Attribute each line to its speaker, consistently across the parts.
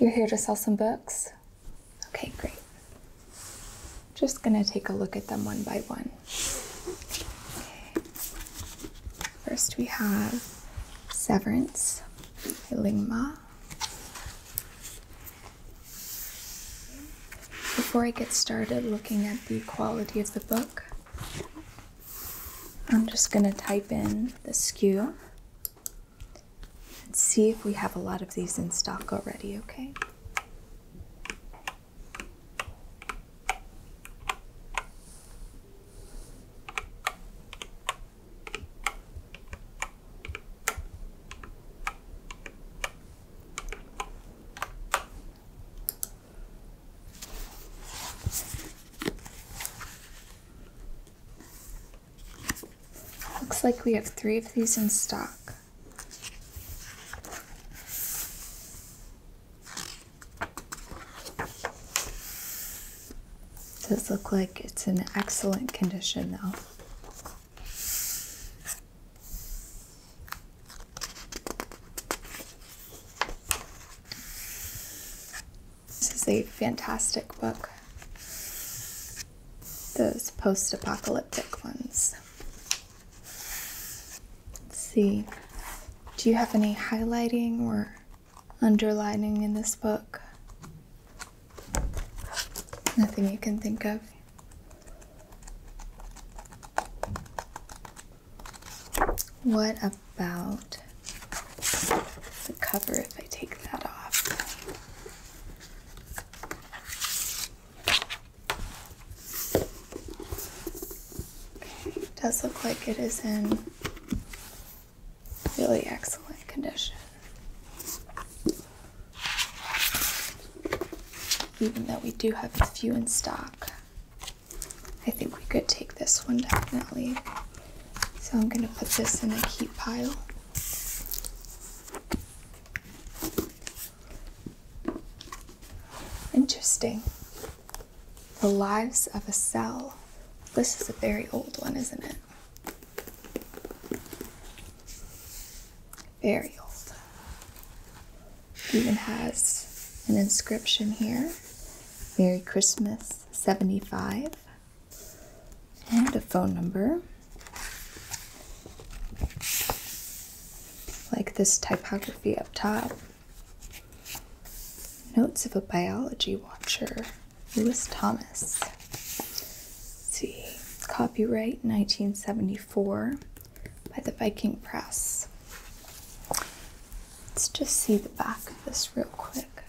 Speaker 1: You're here to sell some books? Okay, great. Just gonna take a look at them one by one. Okay. First, we have Severance Lingma. Before I get started looking at the quality of the book, I'm just going to type in the SKU and see if we have a lot of these in stock already, okay? Looks like we have three of these in stock. Does look like it's in excellent condition though. This is a fantastic book. Those post apocalyptic ones. Let's see. Do you have any highlighting or underlining in this book. Nothing you can think of. What about the cover if I take that off? it does look like it is in really excellent condition. Even though we do have a few in stock, I think we could take this one definitely. So I'm going to put this in a keep pile. Interesting. The lives of a cell. This is a very old one, isn't it? Very old. Even has an inscription here Merry Christmas 75 and a phone number. Like this typography up top. Notes of a biology watcher. Lewis Thomas. see, copyright 1974 by the Viking Press. Let's just see the back of this real quick.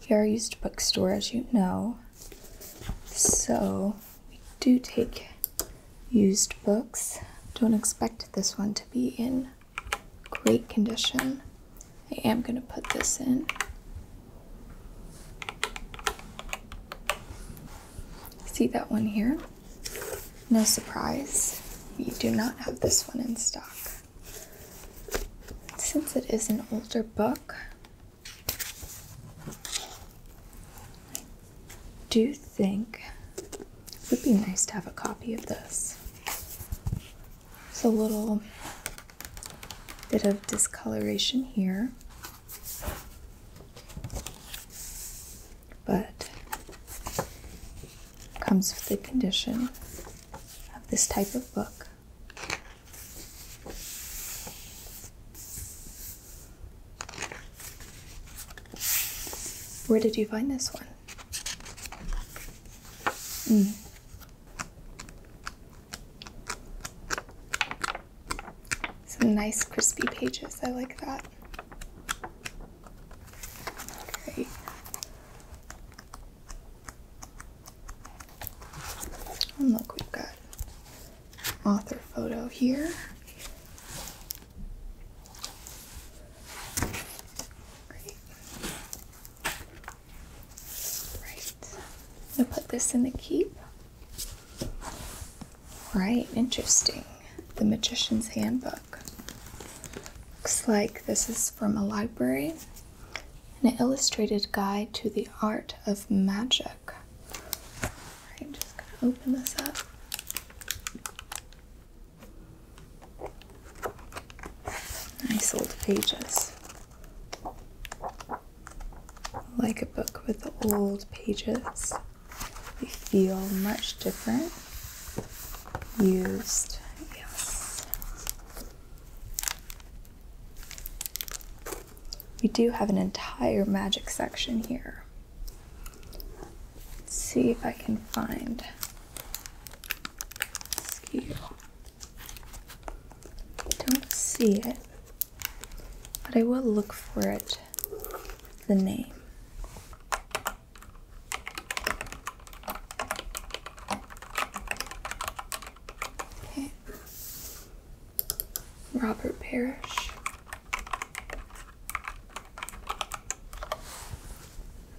Speaker 1: Here, are a used bookstore, as you know, so we do take used books. Don't expect this one to be in great condition. I am going to put this in. See that one here? No surprise, we do not have this one in stock. Since it is an older book, do you think it would be nice to have a copy of this. There's a little bit of discoloration here, but comes with the condition of this type of book. Where did you find this one? Mm. Some nice crispy pages. I like that. Great. And look, we've got author photo here. Great. Right. I'm gonna put this in the keep. Right, interesting. The Magician's Handbook. Looks like this is from a library. An illustrated guide to the art of magic. Right, I'm just gonna open this up. Nice old pages. Like a book with old pages, they feel much different. Used, yes. We do have an entire magic section here. Let's see if I can find don't see it, but I will look for it. The name. Robert Parrish.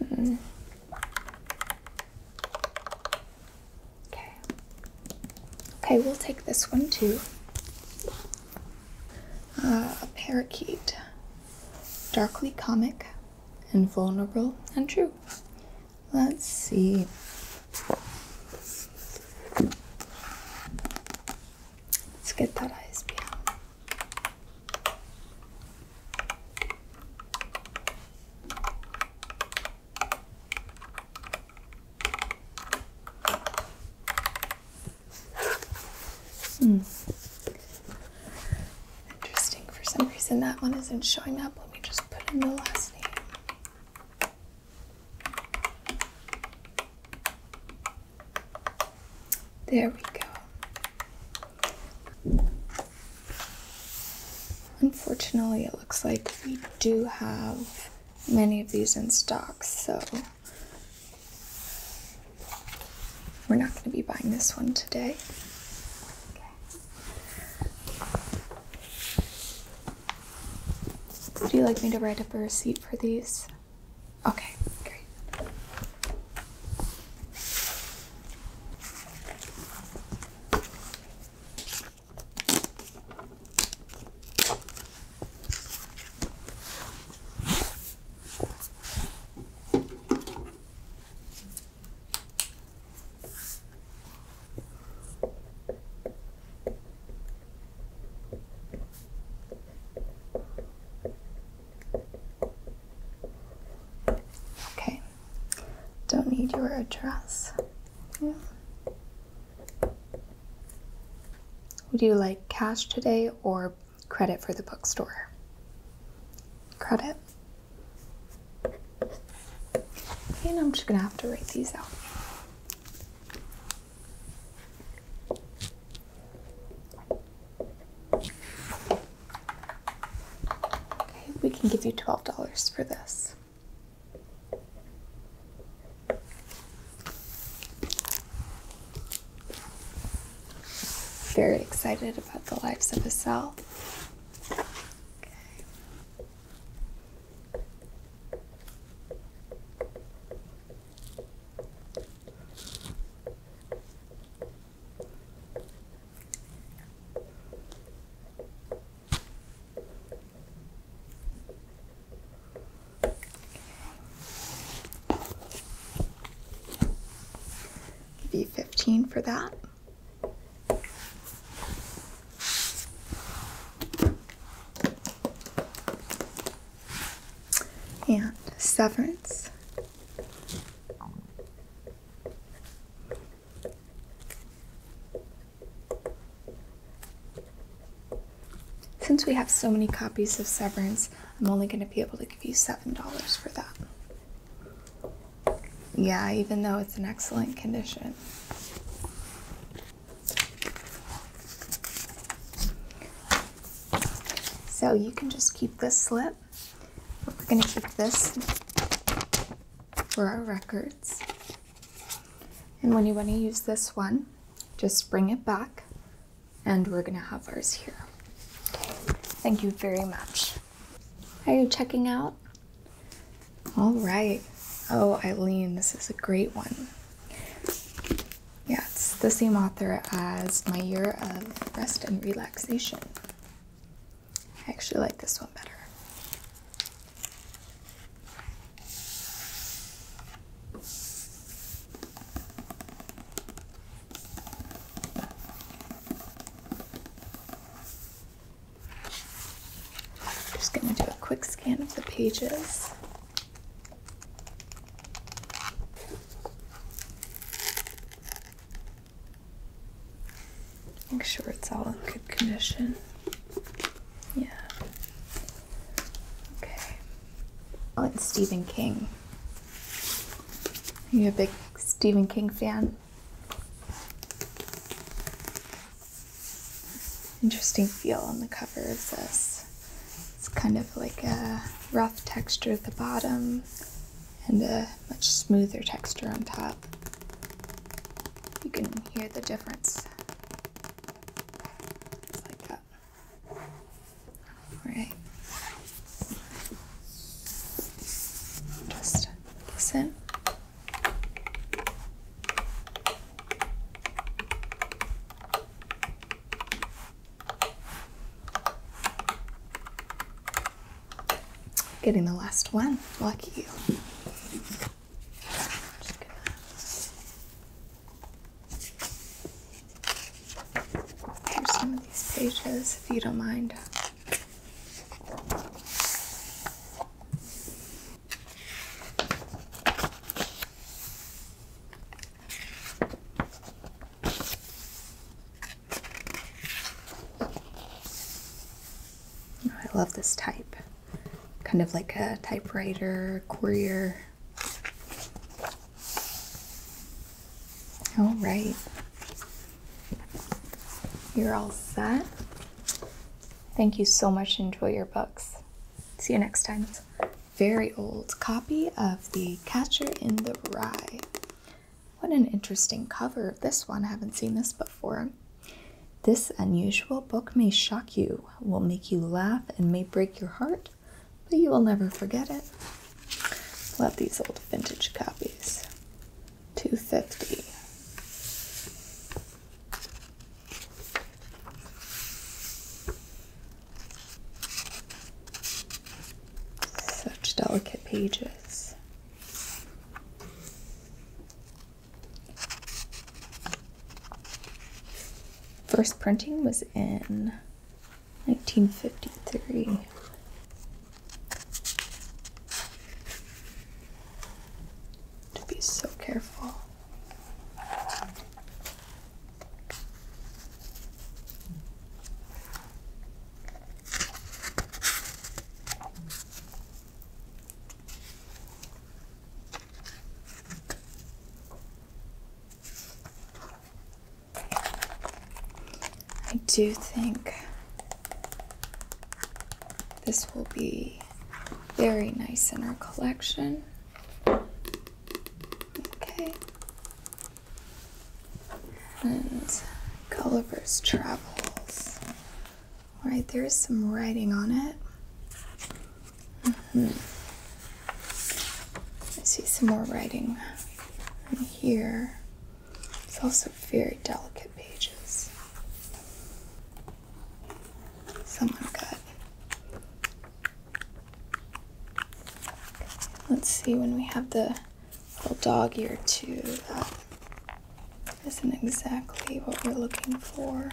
Speaker 1: Mm. Okay. Okay, we'll take this one too. a uh, parakeet. Darkly comic and vulnerable and true. Let's see. Let's get that ISBN. Hmm. Interesting. For some reason, that one isn't showing up. Let me just put in the last name. There we go. Unfortunately, it looks like we do have many of these in stock, so we're not going to be buying this one today. Okay. Would you like me to write up a receipt for these? Okay, great. Okay, don't need your address. Would you like cash today or credit for the bookstore? Credit. Okay, and I'm just gonna have to write these out. Okay, we can give you $12 for this. Very excited about the lives of a cell. V 15 for that. And severance. Since we have so many copies of Severance, I'm only going to be able to give you $7 for that. Yeah, even though it's in excellent condition. So you can just keep this slip. We're going to keep this for our records. And when you want to use this one, just bring it back and we're going to have ours here. Okay. Thank you very much. Are you checking out? All right. Oh, Eileen, this is a great one. Yeah, it's the same author as My Year of Rest and Relaxation. I actually like this one better. I'm just going to do a quick scan of the pages. Make sure it's all in good condition. Yeah. Okay. Oh, it's Stephen King. Are you a big Stephen King fan? Interesting feel on the cover of this. It's kind of like a rough texture at the bottom and a much smoother texture on top you can hear the difference. like that. Alright. Just listen. Getting the last one. Lucky you through some of these pages if you don't mind. I love this type kind of like a typewriter courier. All right, you're all set. Thank you so much. Enjoy your books. See you next time. Very old copy of The Catcher in the Rye. What an interesting cover of this one. I haven't seen this before. This unusual book may shock you, will make you laugh, and may break your heart, but you will never forget it. Love these old vintage copies. 250 Such delicate pages. First printing was in 1953. To be so careful. I do think this will be very nice in our collection. Okay. And Gulliver's Travels. All right, there's some writing on it. Mm-hmm. I see some more writing in here. It's also very delicate pages. Someone got. Let's see when we have the little dog ear too. That isn't exactly what we're looking for.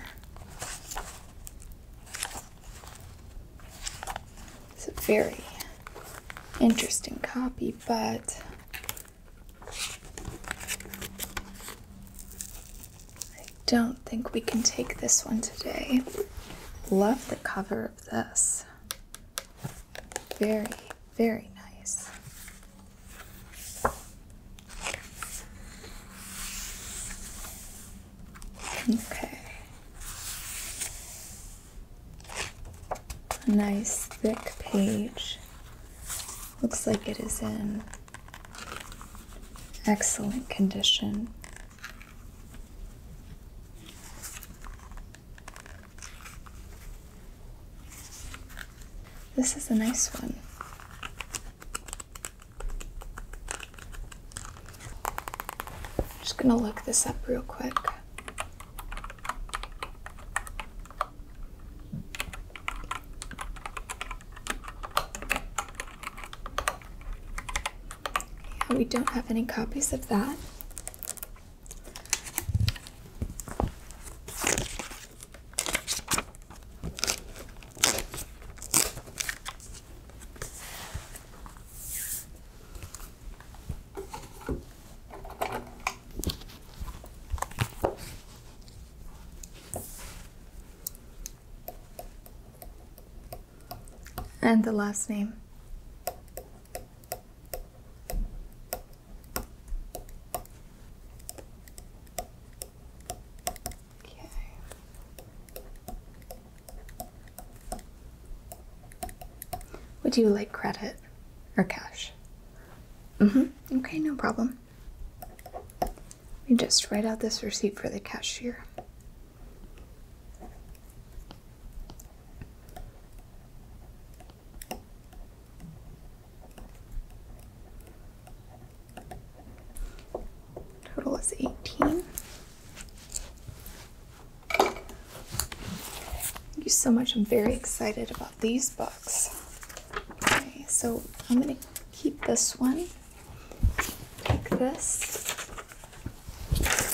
Speaker 1: It's a very interesting copy, but I don't think we can take this one today. Love the cover of this. Very, very nice. Okay. A nice thick page. Looks like it is in excellent condition. This is a nice one. I'm just going to look this up real quick. we don't have any copies of that. And the last name. Okay. Would you like credit or cash? Mm-hmm. Okay, no problem. Let me just write out this receipt for the cashier. Total is 18. Thank you so much. I'm very excited about these books. Okay, so I'm going to keep this one, take this,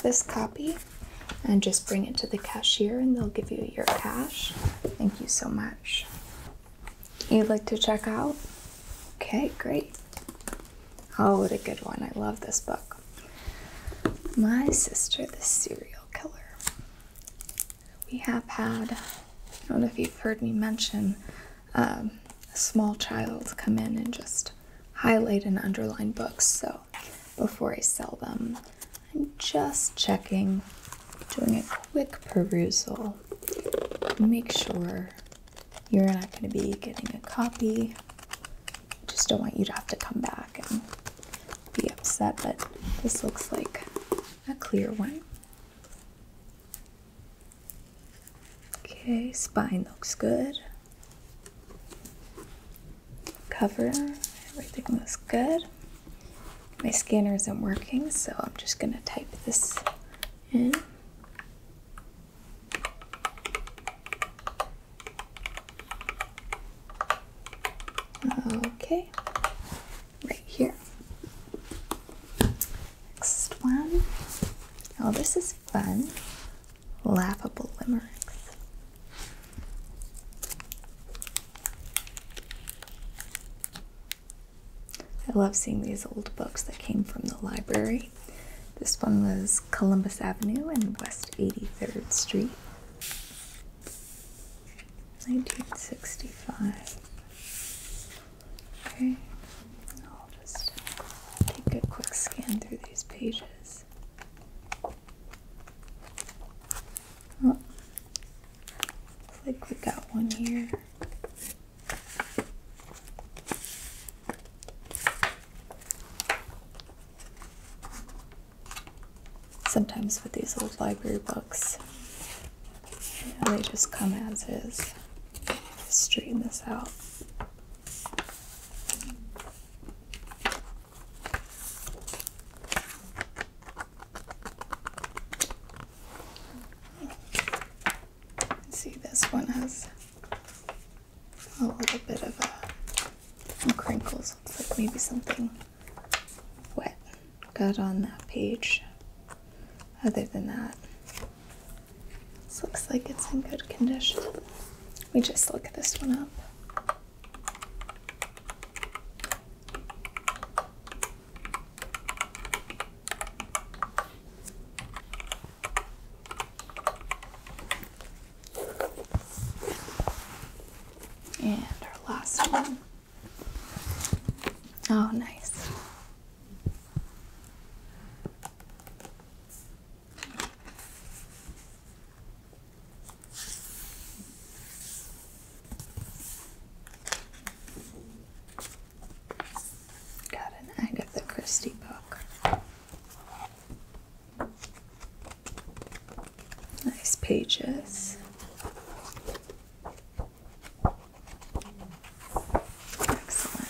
Speaker 1: this copy, and just bring it to the cashier and they'll give you your cash. Thank you so much you'd like to check out? Okay, great. Oh, what a good one. I love this book. My Sister, the Serial Killer. We have had, I don't know if you've heard me mention, um, a small child come in and just highlight and underline books. So before I sell them, I'm just checking, doing a quick perusal make sure you're not going to be getting a copy. Just don't want you to have to come back and be upset, but this looks like a clear one. Okay, spine looks good. Cover, everything looks good. My scanner isn't working, so I'm just gonna type this in. Okay, right here. Next one. Oh, this is fun. Laughable limericks. I love seeing these old books that came from the library. This one was Columbus Avenue and West 83rd Street, 1965. Okay, I'll just take a quick scan through these pages. Oh, looks like we got one here. Sometimes with these old library books, they just come as is. straighten this out see, this one has a little bit of a, crinkles. Looks like maybe something wet got on that page. Other than that, this looks like it's in good condition. Let me just look this one up. And our last one. Oh, nice. Got an Agatha Christie book. Nice pages. Excellent.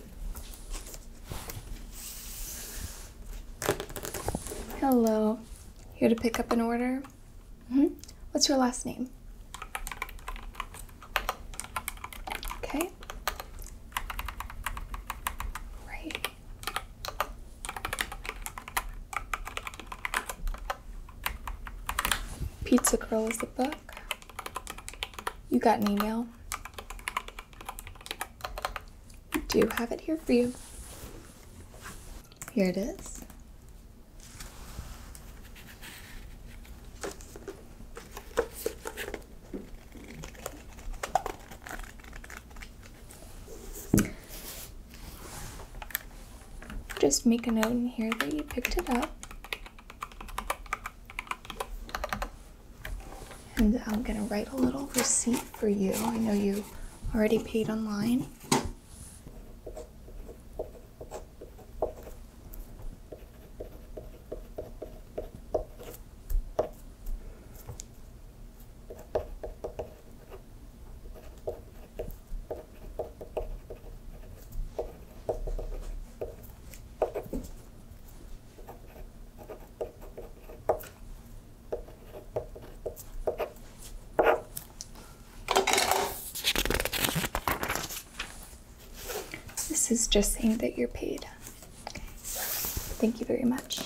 Speaker 1: Hello. Here to pick up an order? Mm -hmm. What's your last name? Okay. Right. Pizza Girl is the book. You got an email do have it here for you. Here it is. Just make a note in here that you picked it up. And I'm going to write a little receipt for you. I know you already paid online. This is just saying that you're paid. Thank you very much.